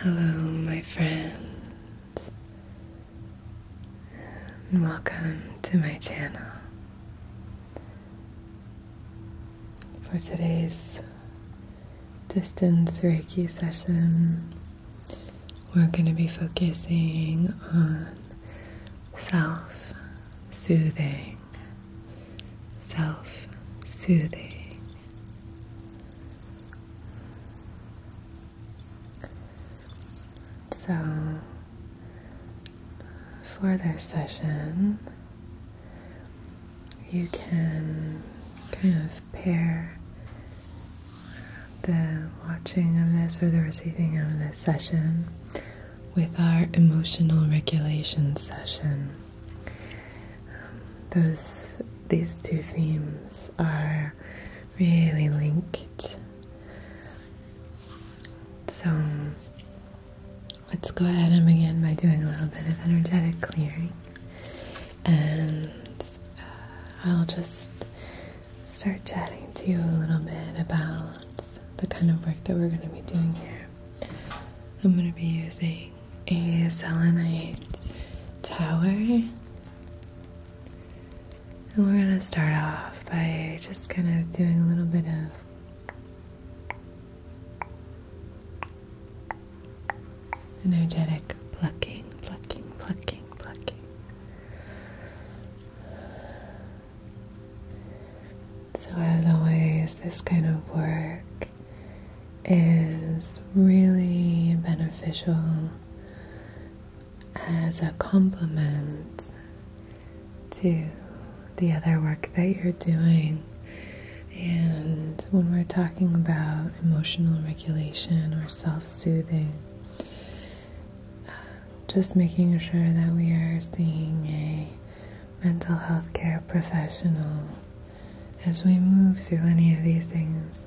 Hello, my friend, and welcome to my channel. For today's distance Reiki session, we're going to be focusing on self soothing self soothing. So, for this session, you can kind of pair the watching of this or the receiving of this session with our emotional regulation session. Um, those these two themes are really linked. So let's go ahead and begin by doing a little bit of energetic clearing. And uh, I'll just start chatting to you a little bit about the kind of work that we're going to be doing here. I'm going to be using a selenite tower. And we're going to start off by just kind of doing a little bit of energetic plucking, plucking, plucking, plucking. So, as always, this kind of work is really beneficial as a complement to the other work that you're doing. And when we're talking about emotional regulation or self soothing, uh, just making sure that we are seeing a mental health care professional as we move through any of these things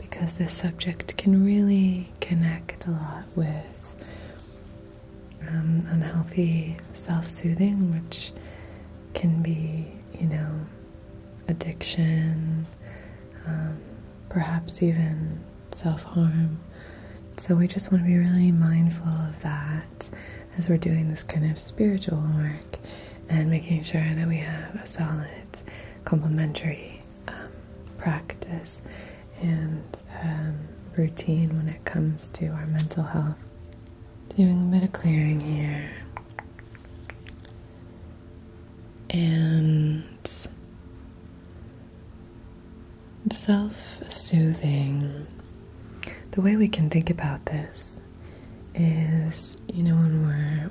because this subject can really connect a lot with um, unhealthy self soothing, which can be, you know, addiction, um, perhaps even self harm. So we just want to be really mindful of that as we're doing this kind of spiritual work and making sure that we have a solid complementary um, practice and um, routine when it comes to our mental health. Doing a bit of clearing here. And self soothing. The way we can think about this is, you know, when we're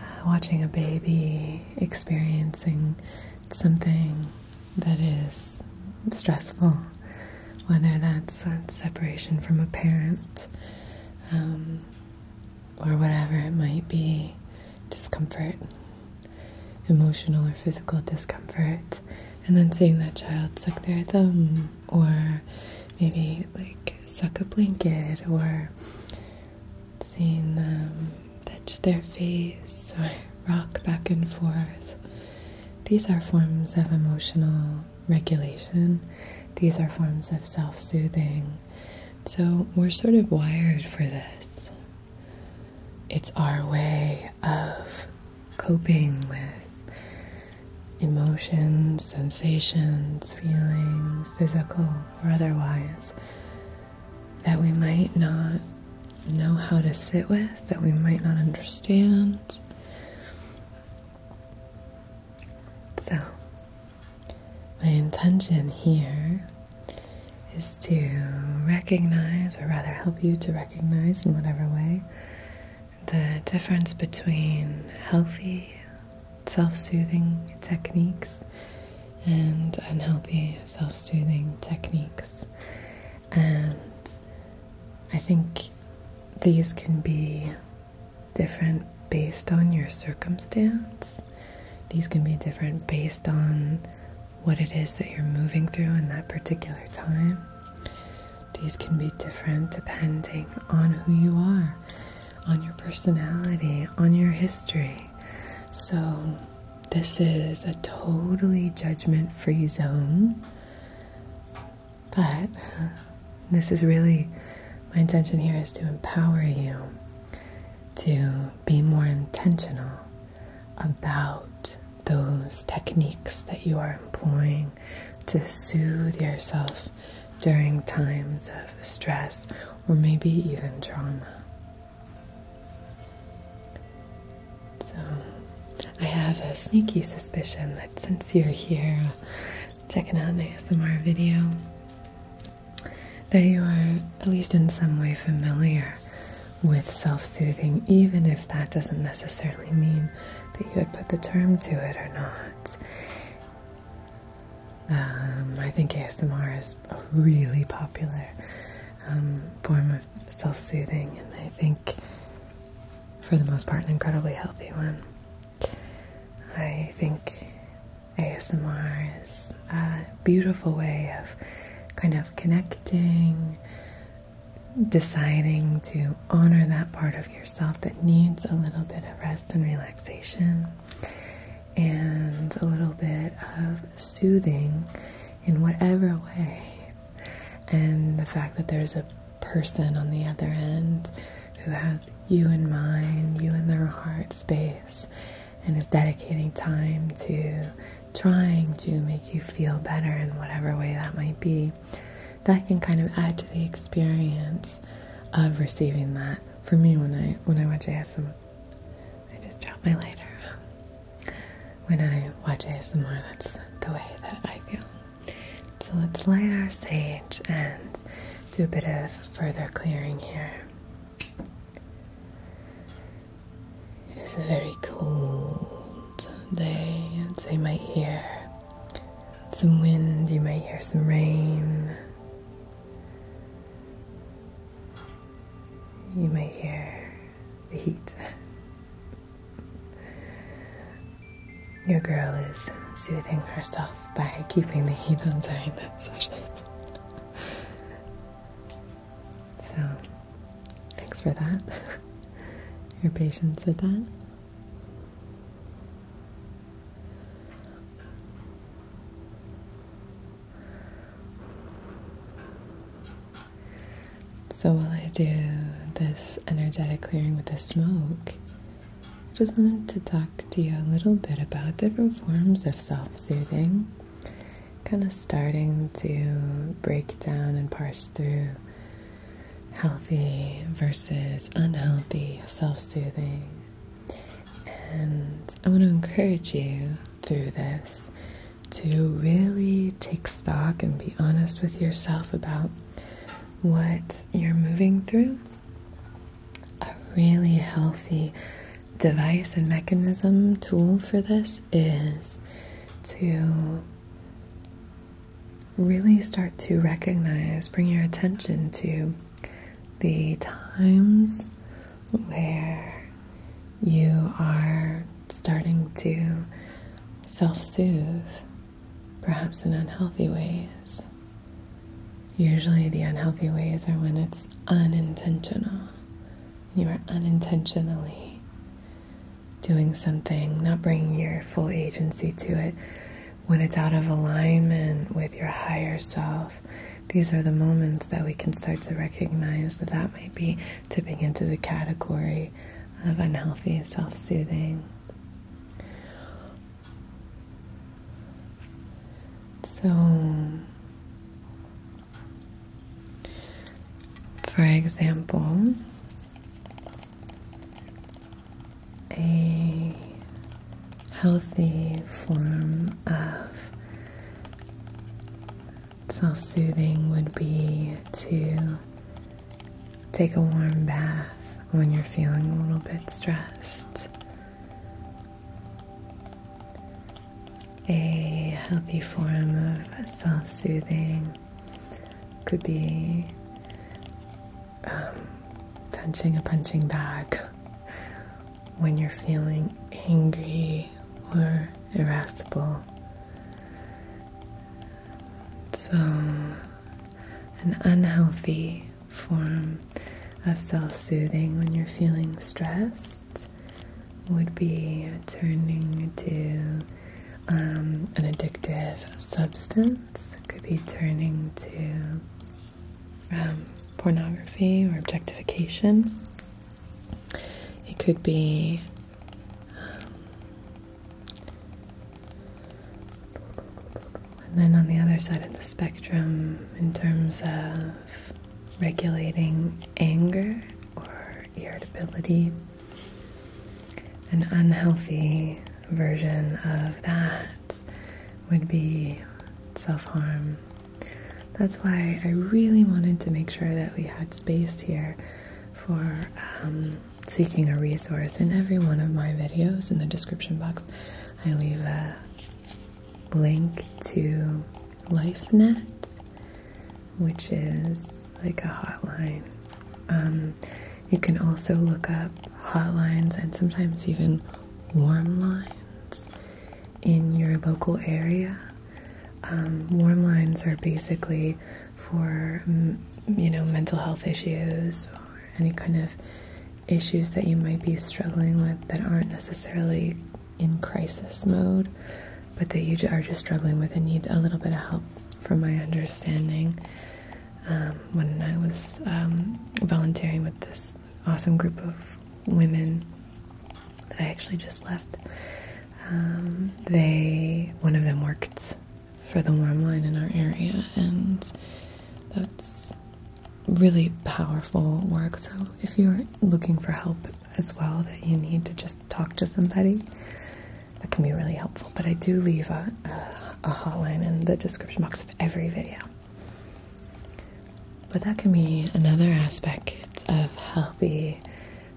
uh, watching a baby experiencing something that is stressful, whether that's separation from a parent um, or whatever it might be, discomfort, emotional or physical discomfort, and then seeing that child suck their thumb or maybe like suck a blanket or seeing them touch their face or rock back and forth. These are forms of emotional regulation. These are forms of self soothing. So we're sort of wired for this. It's our way of coping with emotions, sensations, feelings, physical or otherwise, that we might not know how to sit with, that we might not understand. So, my intention here is to recognize, or rather help you to recognize in whatever way, the difference between healthy self soothing techniques and unhealthy self soothing techniques. And I think these can be different based on your circumstance. These can be different based on what it is that you're moving through in that particular time. These can be different depending on who you are, on your personality, on your history. So, this is a totally judgment free zone. But this is really my intention here is to empower you to be more intentional about those techniques that you are employing to soothe yourself during times of stress or maybe even trauma. So, I have a sneaky suspicion that since you're here checking out an ASMR video, that you are at least in some way familiar with self soothing, even if that doesn't necessarily mean that you had put the term to it or not. Um, I think ASMR is a really popular um, form of self soothing, and I think for the most part, an incredibly healthy one. I think ASMR is a beautiful way of kind of connecting deciding to honor that part of yourself that needs a little bit of rest and relaxation and a little bit of soothing in whatever way. And the fact that there's a person on the other end who has you in mind, you in their heart space, and is dedicating time to trying to make you feel better in whatever way that might be that can kind of add to the experience of receiving that. For me, when I when I watch ASMR, I just drop my lighter. When I watch ASMR, that's the way that I feel. So let's light our sage and do a bit of further clearing here. It is a very cold day, and so you might some wind, you might hear some rain. You might hear the heat. Your girl is soothing herself by keeping the heat on during that session. so, thanks for that. Your patience with that. So while I do this energetic clearing with the smoke, I just wanted to talk to you a little bit about different forms of self-soothing. Kind of starting to break down and parse through healthy versus unhealthy self soothing. And I want to encourage you through this to really take stock and be honest with yourself about what you're moving through. A really healthy device and mechanism tool for this is to really start to recognize, bring your attention to the times where you are starting to self soothe, perhaps in unhealthy ways. Usually, the unhealthy ways are when it's unintentional. You are unintentionally doing something, not bringing your full agency to it, when it's out of alignment with your higher self, these are the moments that we can start to recognize that that might be tipping into the category of unhealthy self soothing. So, for example, a healthy form of self soothing would be to take a warm bath when you're feeling a little bit stressed. A healthy form of self soothing could be um, punching a punching bag when you're feeling angry or irascible. So, an unhealthy form of self soothing when you're feeling stressed would be turning to um, an addictive substance. could be turning to um, pornography or objectification. It could be um, And then on the other side of the spectrum, in terms of regulating anger or irritability, an unhealthy version of that would be self harm. That's why I really wanted to make sure that we had space here for um, seeking a resource. In every one of my videos, in the description box, I leave a link to LifeNet, which is like a hotline. Um, you can also look up hotlines and sometimes even warm lines in your local area. Um, warm lines are basically for you know mental health issues or any kind of issues that you might be struggling with that aren't necessarily in crisis mode, but that you are just struggling with and need a little bit of help, from my understanding. Um, when I was um, volunteering with this awesome group of women that I actually just left. Um, they, one of them worked for the warm line in our area, and that's really powerful work. So if you're looking for help as well, that you need to just talk to somebody, that can be really helpful. But I do leave a, a, hotline in the description box of every video. But that can be another aspect of healthy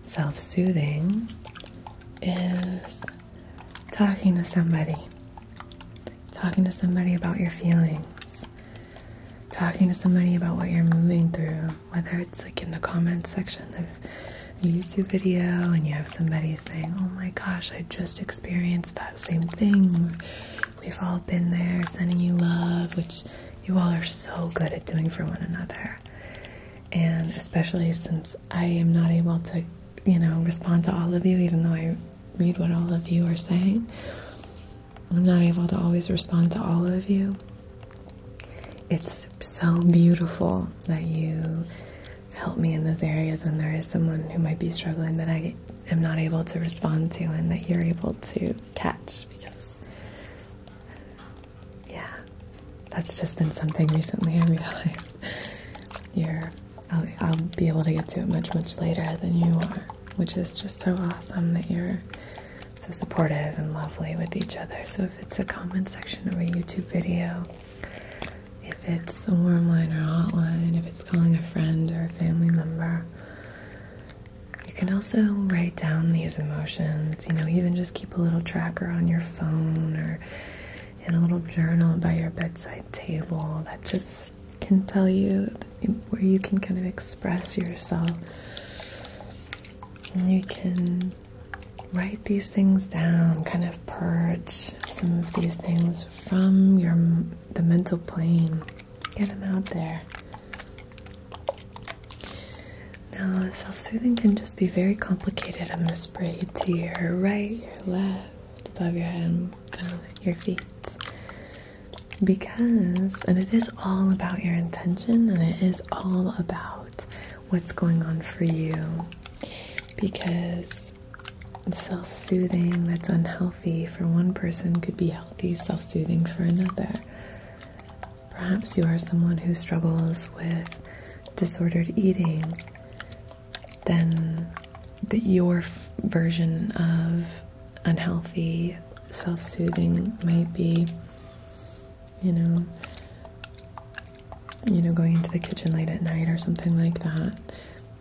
self soothing is talking to somebody, talking to somebody about your feelings, talking to somebody about what you're moving through, whether it's like in the comments section a YouTube video and you have somebody saying, Oh my gosh, I just experienced that same thing. We've all been there, sending you love, which you all are so good at doing for one another. And especially since I am not able to, you know, respond to all of you, even though I read what all of you are saying, I'm not able to always respond to all of you. It's so beautiful that you help me in those areas when there is someone who might be struggling that I am not able to respond to and that you're able to catch because yeah that's just been something recently I realized you're I'll, I'll be able to get to it much much later than you are which is just so awesome that you're so supportive and lovely with each other so if it's a comment section of a YouTube video if it's a warm line or hot line, if it's calling a friend or a family member. You can also write down these emotions, you know, even just keep a little tracker on your phone or in a little journal by your bedside table that just can tell you where you can kind of express yourself. you can write these things down, kind of purge some of these things from your the mental plane. Get them out there. Now, self-soothing can just be very complicated. I'm gonna spray to your right, your left, above your head, kind of your feet. Because, and it is all about your intention, and it is all about what's going on for you. Because self soothing that's unhealthy for one person could be healthy self soothing for another. Perhaps you are someone who struggles with disordered eating, then your version of unhealthy self soothing might be, you know, you know, going into the kitchen late at night or something like that.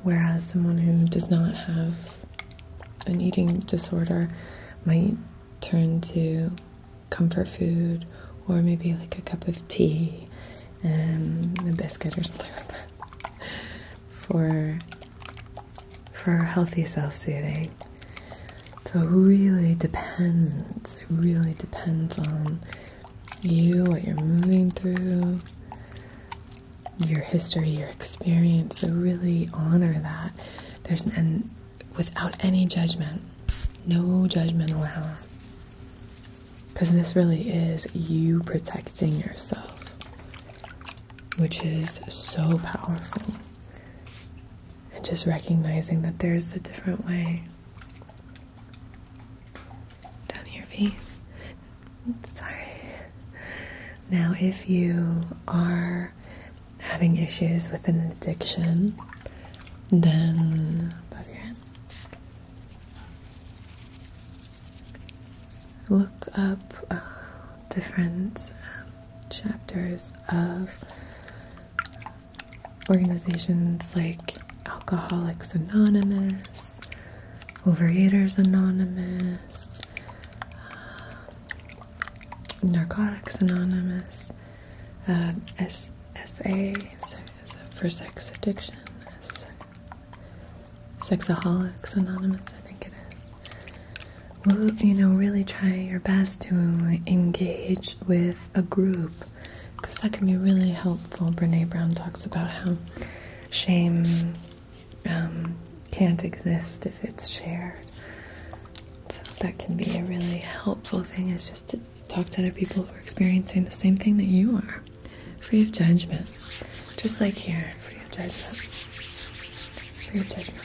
Whereas someone who does not have an eating disorder might turn to comfort food or maybe like a cup of tea and a biscuit or something like that for for healthy self-soothing. So it really depends. It really depends on you, what you're moving through, your history, your experience. So really honor that. There's and without any judgment, no judgment allowed. Because this really is you protecting yourself, which is so powerful. And just recognizing that there's a different way. Down here, please. Sorry. Now, if you are having issues with an addiction, then look up uh, different um, chapters of organizations like Alcoholics Anonymous Overeaters Anonymous, um, Narcotics Anonymous, um, SSA for sex addiction, Sexaholics Anonymous, I think it is. you know, really try your best to engage with a group because that can be really helpful. Brene Brown talks about how shame um, can't exist if it's shared. So that can be a really helpful thing is just to talk to other people who are experiencing the same thing that you are, free of judgment. Just like here, free of judgment. Free of judgment.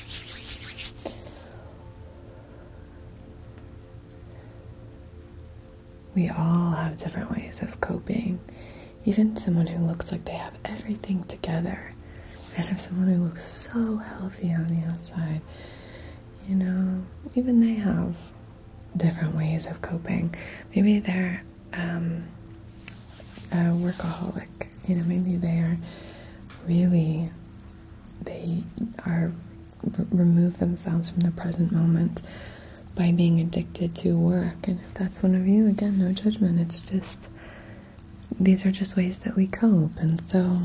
We all have different ways of coping. Even someone who looks like they have everything together. And if someone who looks so healthy on the outside, you know, even they have different ways of coping. Maybe they're um, a workaholic. You know, maybe they are really, they are remove themselves from the present moment by being addicted to work. And if that's one of you, again, no judgment. It's just, these are just ways that we cope. And so,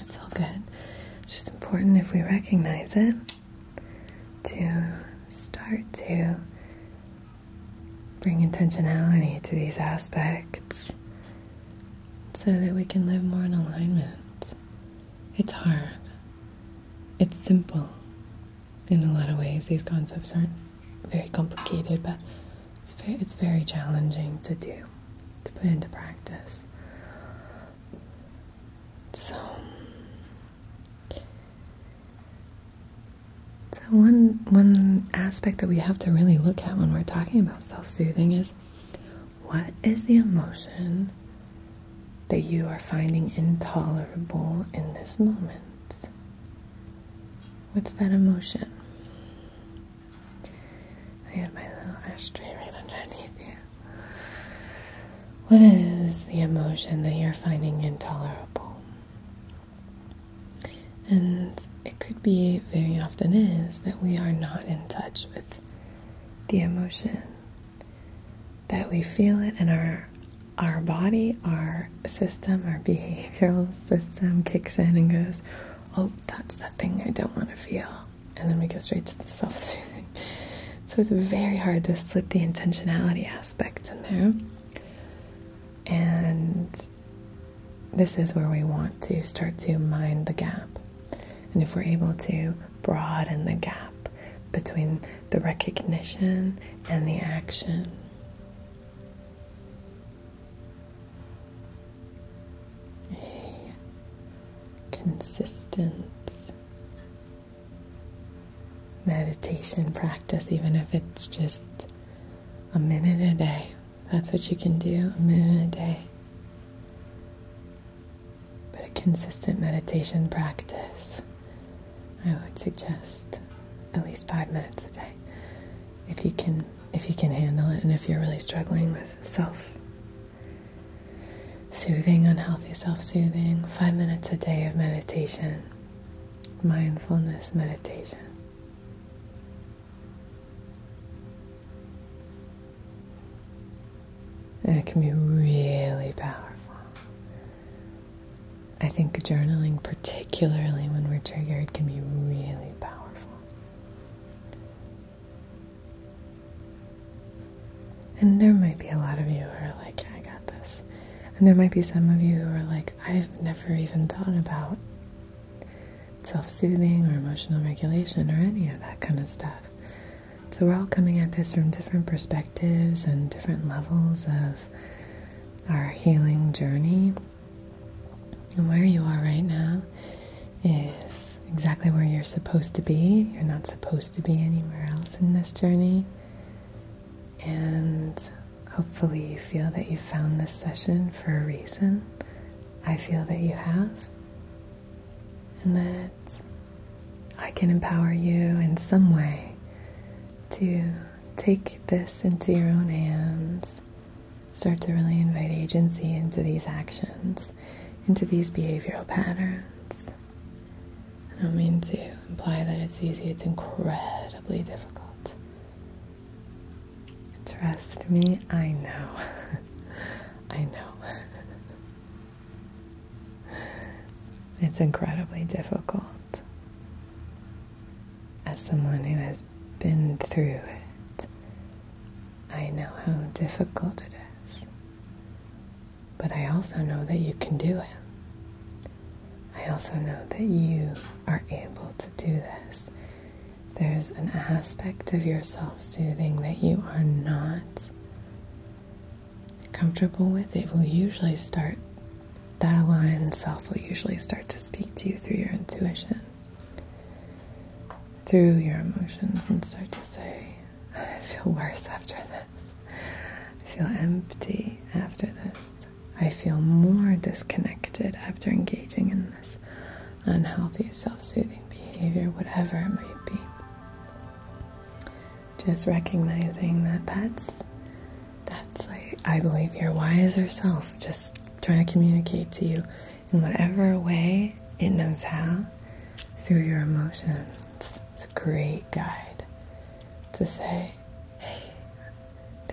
it's all good. It's just important if we recognize it to start to bring intentionality to these aspects so that we can live more in alignment. It's hard. It's simple in a lot of ways. These concepts aren't very complicated, but it's very, challenging to do, to put into practice. So, so one one aspect that we have to really look at when we're talking about self-soothing is what is the emotion that you are finding intolerable in this moment? What's that emotion? I have my little ashtray right underneath you. What is the emotion that you're finding intolerable? And it could be, very often is, that we are not in touch with the emotion that we feel it in our our body, our system, our behavioral system kicks in and goes, "Oh, that's that thing I don't want to feel," and then we go straight to the self-soothing. So it's very hard to slip the intentionality aspect in there, and this is where we want to start to mind the gap. And if we're able to broaden the gap between the recognition and the action. A consistent meditation practice, even if it's just a minute a day. That's what you can do, a minute a day but a consistent meditation practice, I would suggest at least five minutes a day if you can if you can handle it and if you're really struggling with self soothing, unhealthy self soothing, five minutes a day of meditation, mindfulness meditation. Uh, it can be really powerful. I think journaling, particularly when we're triggered, can be really powerful. And there might be a lot of you who are like, I got this. And there might be some of you who are like, I've never even thought about self soothing or emotional regulation or any of that kind of stuff. So we're all coming at this from different perspectives and different levels of our healing journey. And where you are right now is exactly where you're supposed to be. You're not supposed to be anywhere else in this journey. And hopefully, you feel that you found this session for a reason. I feel that you have. And that I can empower you in some way to take this into your own hands, start to really invite agency into these actions, into these behavioral patterns. I don't mean to imply that it's easy, it's incredibly difficult. Trust me, I know. I know. It's incredibly difficult as someone who has been through it, I know how difficult it is. But I also know that you can do it. I also know that you are able to do this. There's an aspect of yourself soothing that you are not comfortable with, it will usually start, that aligned self will usually start to speak to you through your intuition, through your emotions, and start to say, I feel worse after this. I feel empty after this. I feel more disconnected after engaging in this unhealthy self soothing behavior, whatever it might be. Just recognizing that that's that's like I believe your wiser self just trying to communicate to you in whatever way it knows how through your emotions. It's a great guide to say, hey,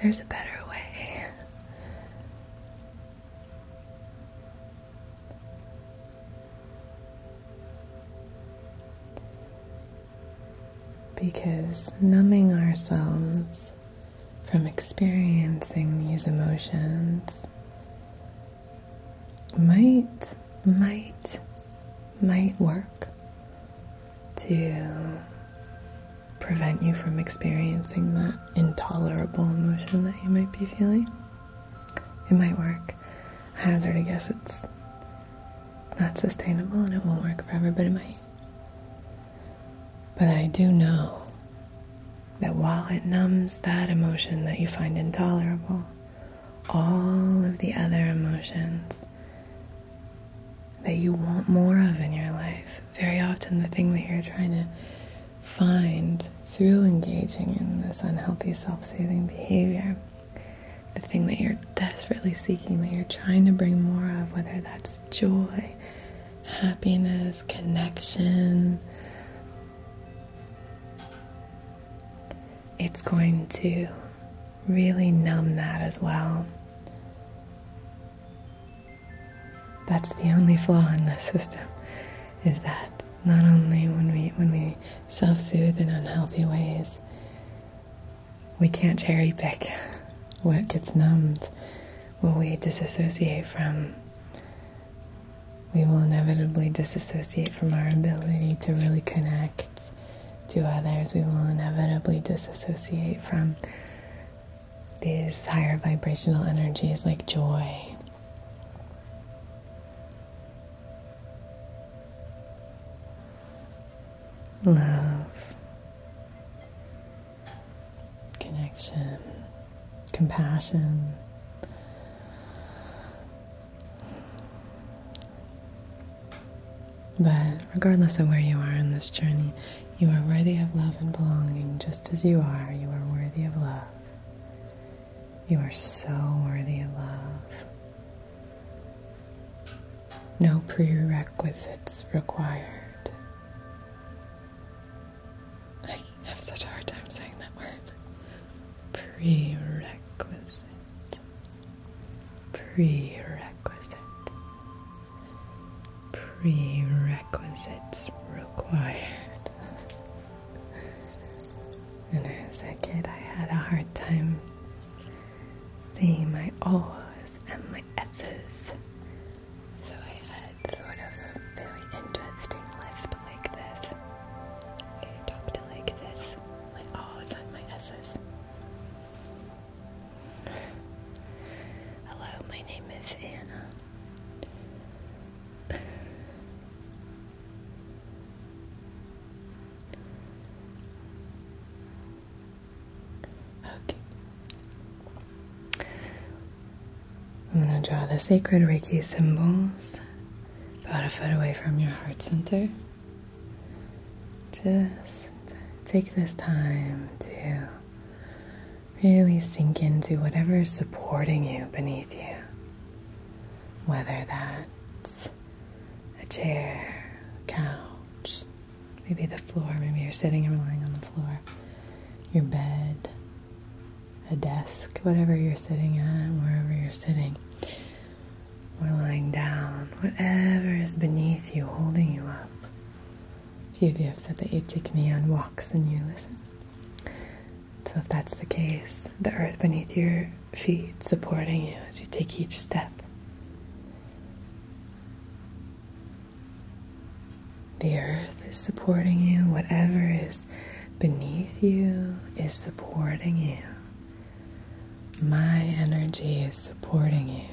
there's a better way. Because numbing ourselves from experiencing these emotions might, might, might work to prevent you from experiencing that intolerable emotion that you might be feeling. It might work. I hazard I guess it's not sustainable and it won't work for everybody might. But I do know that while it numbs that emotion that you find intolerable, all of the other emotions that you want more of in your life, very often the thing that you're trying to find through engaging in this unhealthy self soothing behavior the thing that you're desperately seeking, that you're trying to bring more of, whether that's joy, happiness, connection. It's going to really numb that as well. That's the only flaw in this system is that not only when we when we self-soothe in unhealthy ways, we can't cherry pick what gets numbed, what we disassociate from. We will inevitably disassociate from our ability to really connect to others. We will inevitably disassociate from these higher vibrational energies like joy love, connection, compassion. But regardless of where you are in this journey, you are worthy of love and belonging just as you are. You are worthy of love. You are so worthy of love. No prerequisites required. I have such a hard time saying that word. Prerequisite. Prerequisite. Prerequisites required. When I a kid, I had a hard time the my O's and my S's. So I had sort of a very interesting list like this. I talked like this, my O's and my S's. Hello, my name is Anna. Okay. I'm going to draw the sacred Reiki symbols about a foot away from your heart center. Just take this time to really sink into whatever is supporting you beneath you, whether that's a chair, a couch, maybe the floor, maybe you're sitting or lying on the floor, your bed, a desk, whatever you're sitting at, wherever you're sitting, or lying down, whatever is beneath you, holding you up. A few of you have said that you take me on walks and you listen. So if that's the case, the earth beneath your feet supporting you as you take each step. The earth is supporting you, whatever is beneath you is supporting you. My energy is supporting you.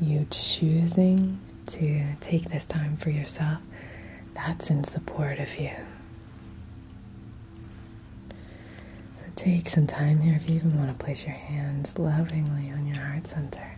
You choosing to take this time for yourself, that's in support of you. So take some time here if you even want to place your hands lovingly on your heart center.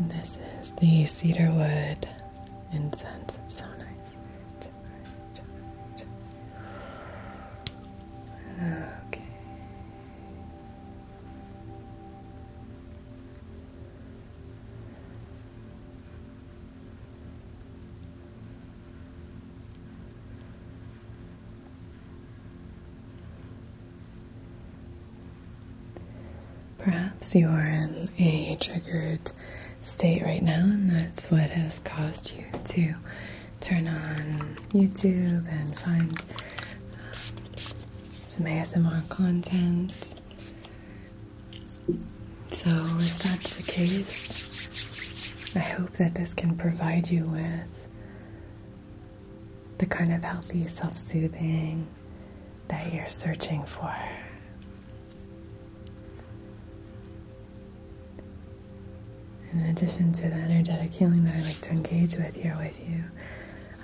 This is the cedarwood incense. It's so nice. Okay. Perhaps you are in a triggered state right now, and that's what has caused you to turn on YouTube and find um, some ASMR content. So, if that's the case, I hope that this can provide you with the kind of healthy self soothing that you're searching for. In addition to the energetic healing that I like to engage with here with you,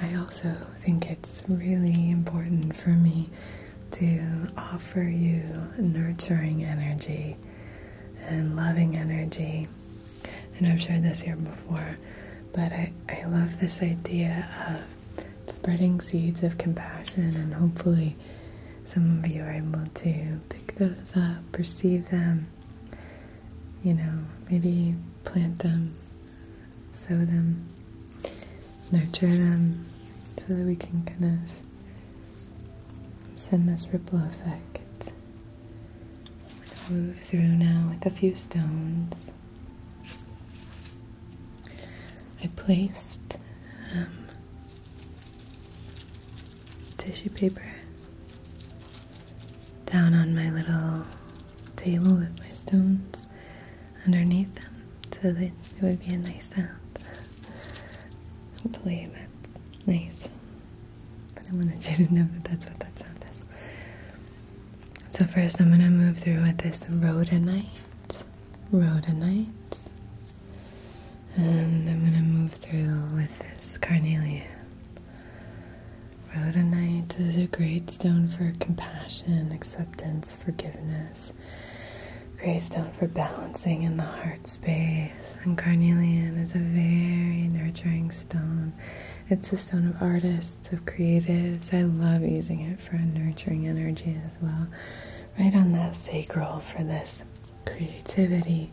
I also think it's really important for me to offer you nurturing energy and loving energy. And I've shared this here before, but I, I love this idea of spreading seeds of compassion and hopefully some of you are able to pick those up, perceive them, you know, maybe plant them, sow them, nurture them, so that we can kind of send this ripple effect. move through now with a few stones. I placed um, tissue paper down on my little table with my stones underneath them so that it would be a nice sound. Hopefully that's nice. But I wanted you to know that that's what that sound is. So first I'm going to move through with this rhodonite rhodonite. And I'm going to move through with this carnelian. Rhodonite is a great stone for compassion, acceptance, forgiveness. Great stone for balancing in the heart space. And carnelian is a very nurturing stone. It's a stone of artists, of creatives. I love using it for a nurturing energy as well. Right on that sacral for this creativity,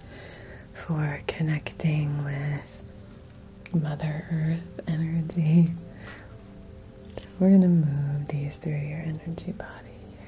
for connecting with Mother Earth energy. We're going to move these through your energy body here.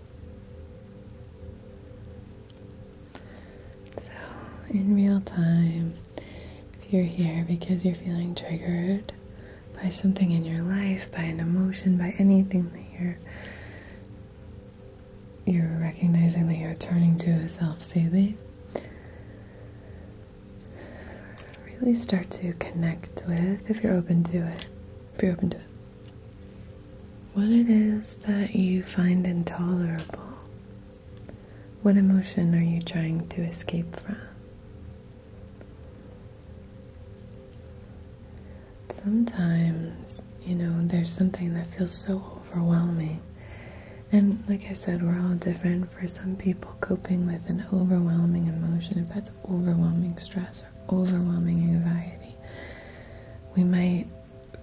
So, in real time, if you're here because you're feeling triggered by something in your life, by an emotion, by anything that you're you're recognizing that you're turning to yourself, self-soothing, really start to connect with if you're open to it. If you're open to it what it is that you find intolerable. What emotion are you trying to escape from? Sometimes, you know, there's something that feels so overwhelming. And like I said, we're all different. For some people, coping with an overwhelming emotion, if that's overwhelming stress, overwhelming anxiety, we might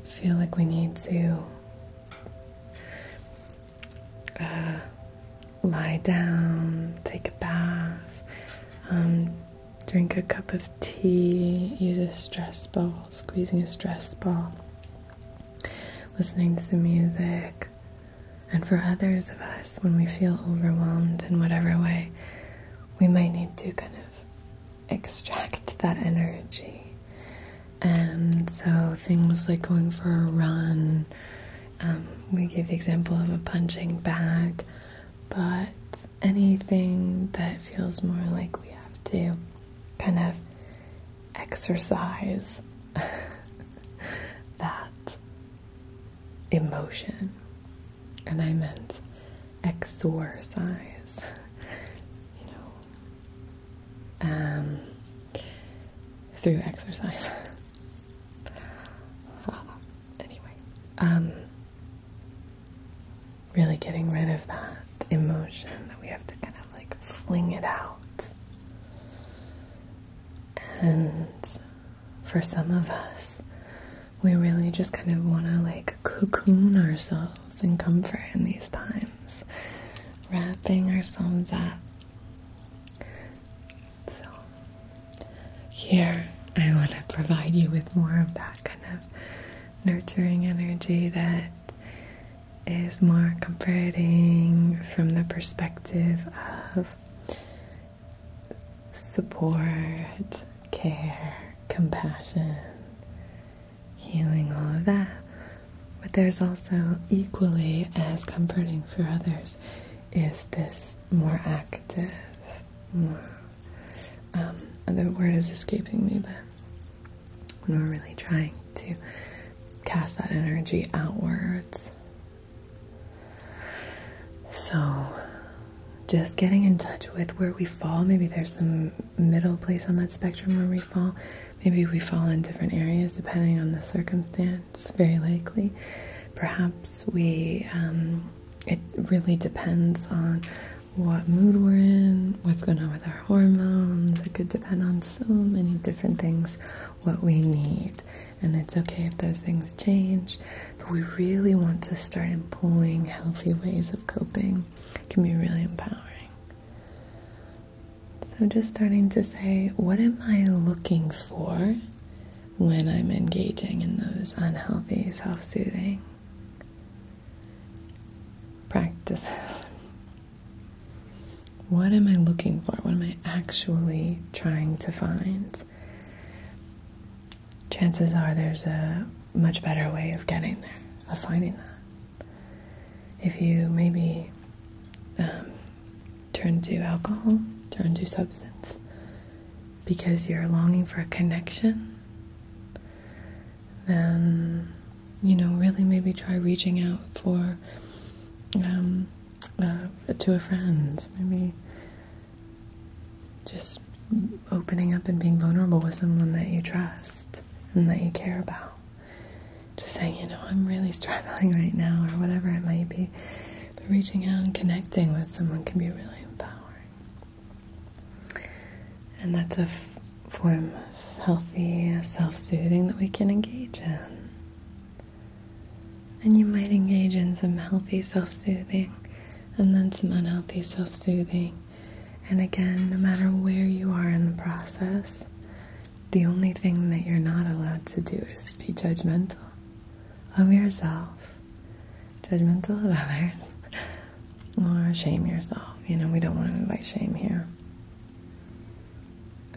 feel like we need to uh, lie down, take a bath, um, drink a cup of tea, use a stress ball, squeezing a stress ball, listening to music. And for others of us, when we feel overwhelmed in whatever way, we might need to kind of extract that energy. And so things like going for a run, um, we gave the example of a punching bag, but anything that feels more like we have to kind of exercise that emotion. And I meant exorcise, you know, um, through exercise. Ah, anyway, um, really getting rid of that emotion that we have to kind of like fling it out. And for some of us, we really just kind of want to like cocoon ourselves in comfort in these times, wrapping ourselves up. So, here I want to provide you with more of that kind of nurturing energy that is more comforting from the perspective of support, care, compassion, healing, all of that. But there's also equally as comforting for others is this more active, um, the word is escaping me, but when we're really trying to cast that energy outwards. So just getting in touch with where we fall. Maybe there's some middle place on that spectrum where we fall. Maybe we fall in different areas depending on the circumstance, very likely. Perhaps we, um, it really depends on what mood we're in, what's going on with our hormones. It could depend on so many different things, what we need. And it's okay if those things change but we really want to start employing healthy ways of coping. It can be really empowering. So, just starting to say, what am I looking for when I'm engaging in those unhealthy self soothing practices? what am I looking for? What am I actually trying to find? chances are there's a much better way of getting there, of finding that. If you maybe um, turn to alcohol, turn to substance, because you're longing for a connection, then, you know, really maybe try reaching out for, um, uh, to a friend, maybe just opening up and being vulnerable with someone that you trust and that you care about. Just saying, you know, I'm really struggling right now, or whatever it might be. But reaching out and connecting with someone can be really empowering. And that's a form of healthy self soothing that we can engage in. And you might engage in some healthy self soothing and then some unhealthy self soothing. And again, no matter where you are in the process, the only thing that you're not allowed to do is be judgmental of yourself, judgmental of others, or shame yourself. You know, we don't want to invite shame here.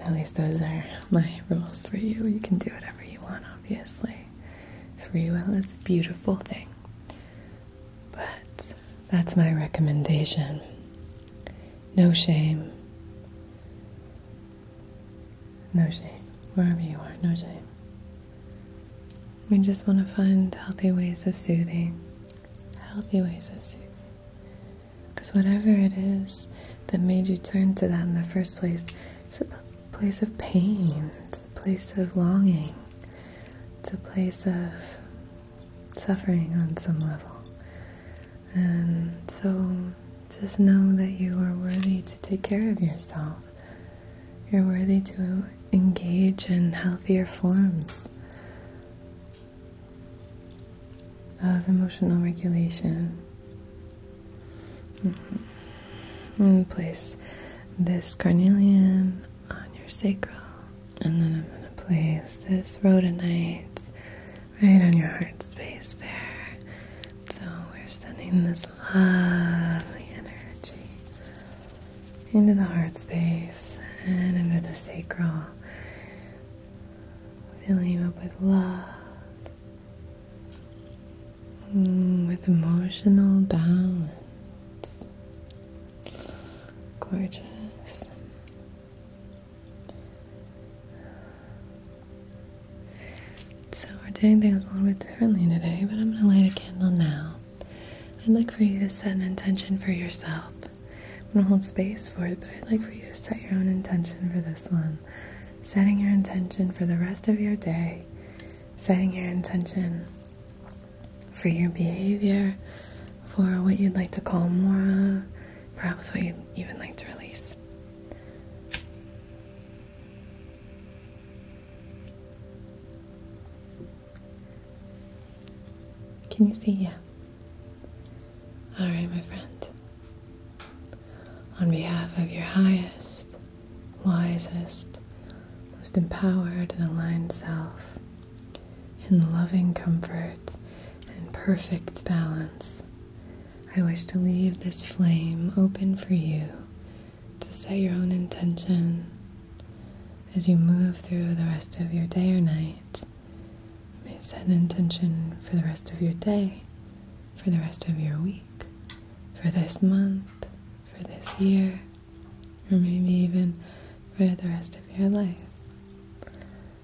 At least those are my rules for you. You can do whatever you want, obviously. Free will is a beautiful thing. But that's my recommendation. No shame. No shame. Wherever you are, no shame. We just want to find healthy ways of soothing. Healthy ways of soothing. Because whatever it is that made you turn to that in the first place, it's about place of pain, place of longing, it's a place of suffering on some level. And so just know that you are worthy to take care of yourself. You're worthy to engage in healthier forms of emotional regulation. Mm-hmm place this carnelian on your sacral. And then I'm going to place this rhodonite right on your heart space there. So we're sending this lovely energy into the heart space and into the sacral. Filling you up with love Mm, with emotional balance. Gorgeous. So, we're doing things a little bit differently today, but I'm going to light a candle now. I'd like for you to set an intention for yourself. I'm going to hold space for it, but I'd like for you to set your own intention for this one. Setting your intention for the rest of your day, setting your intention for your behavior, for what you'd like to call more, perhaps what you'd even like to release. Can you see? Yeah. All right, my friend. On behalf of your highest, wisest, most empowered and aligned self, in loving comfort and perfect balance, I wish to leave this flame open for you to set your own intention as you move through the rest of your day or night. may set an intention for the rest of your day, for the rest of your week, for this month, for this year or maybe even for the rest of your life.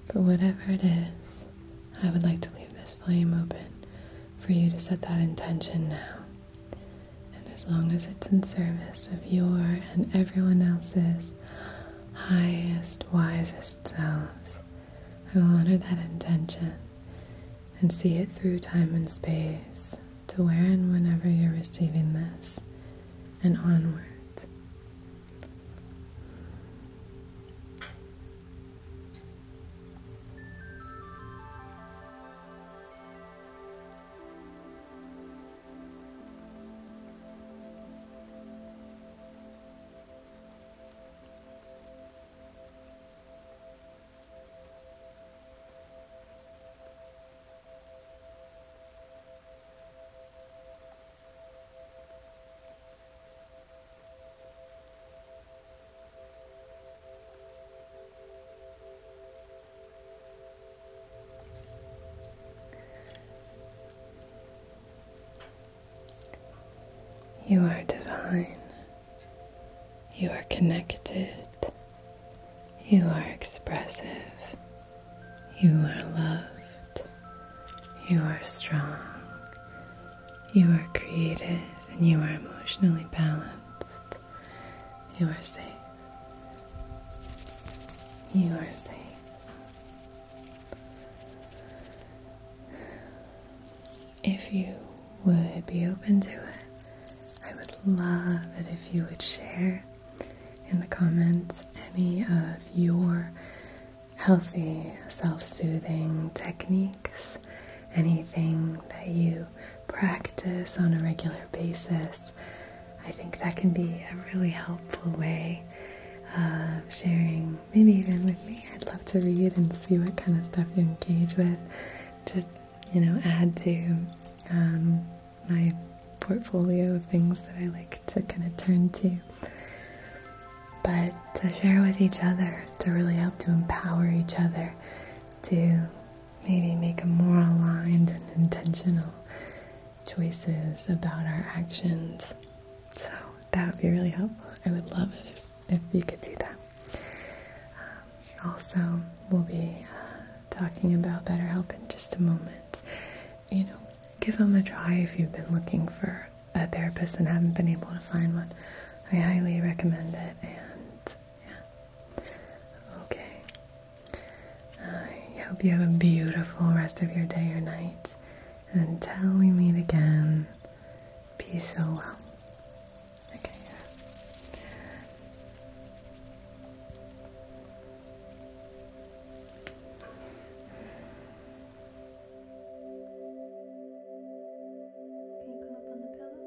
But whatever it is, I would like to leave this flame open for you to set that intention now. And as long as it's in service of your and everyone else's highest, wisest selves, I will honor that intention and see it through time and space to wear and whenever you're receiving this and onward. You are divine. You are connected you are expressive. You are loved. You are strong. You are creative and you are emotionally balanced. You are safe. You are safe. If you would be open to it, I would love it if you would share in the comments any of your healthy self soothing techniques, anything that you practice on a regular basis. I think that can be a really helpful way of sharing, maybe even with me. I'd love to read and see what kind of stuff you engage with. Just, you know, add to um, my portfolio of things that I like to kind of turn to, but to share with each other, to really help to empower each other to maybe make more aligned and intentional choices about our actions. So that would be really helpful. I would love it if you could do that also, we'll be uh, talking about BetterHelp in just a moment. You know, give them a try if you've been looking for a therapist and haven't been able to find one. I highly recommend it, and yeah. Okay. I hope you have a beautiful rest of your day or night. until we meet again, peace so well. Okay. Can you come up on the pillow?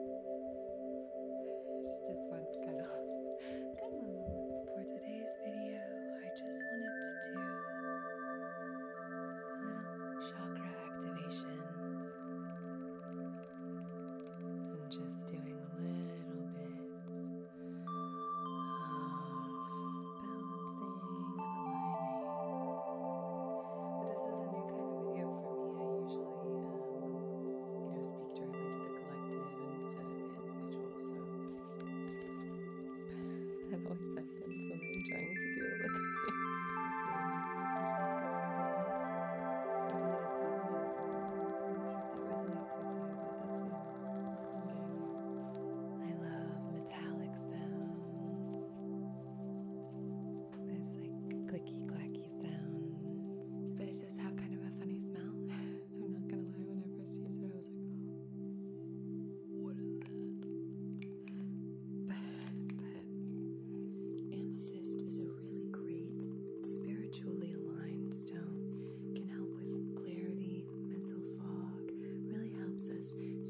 She just wants cuddles. Good one. For today's video, I just wanted to do a little chakra activation and just doing a little bit of balancing and aligning. But this is a new kind of video for me. I usually, you uh, know, speak directly to the collective instead of the individual, so that always happens when I'm trying to do like I love metallic sounds. There's like clicky clacky sounds. But it does have kind of a funny smell. I'm not gonna lie, when I first it, I was like, oh, what is that? But, but amethyst is a really great spiritually aligned stone can help with clarity, mental fog, really helps us see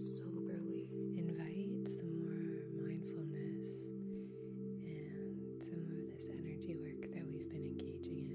soberly. Invite some more mindfulness and some of this energy work that we've been engaging in.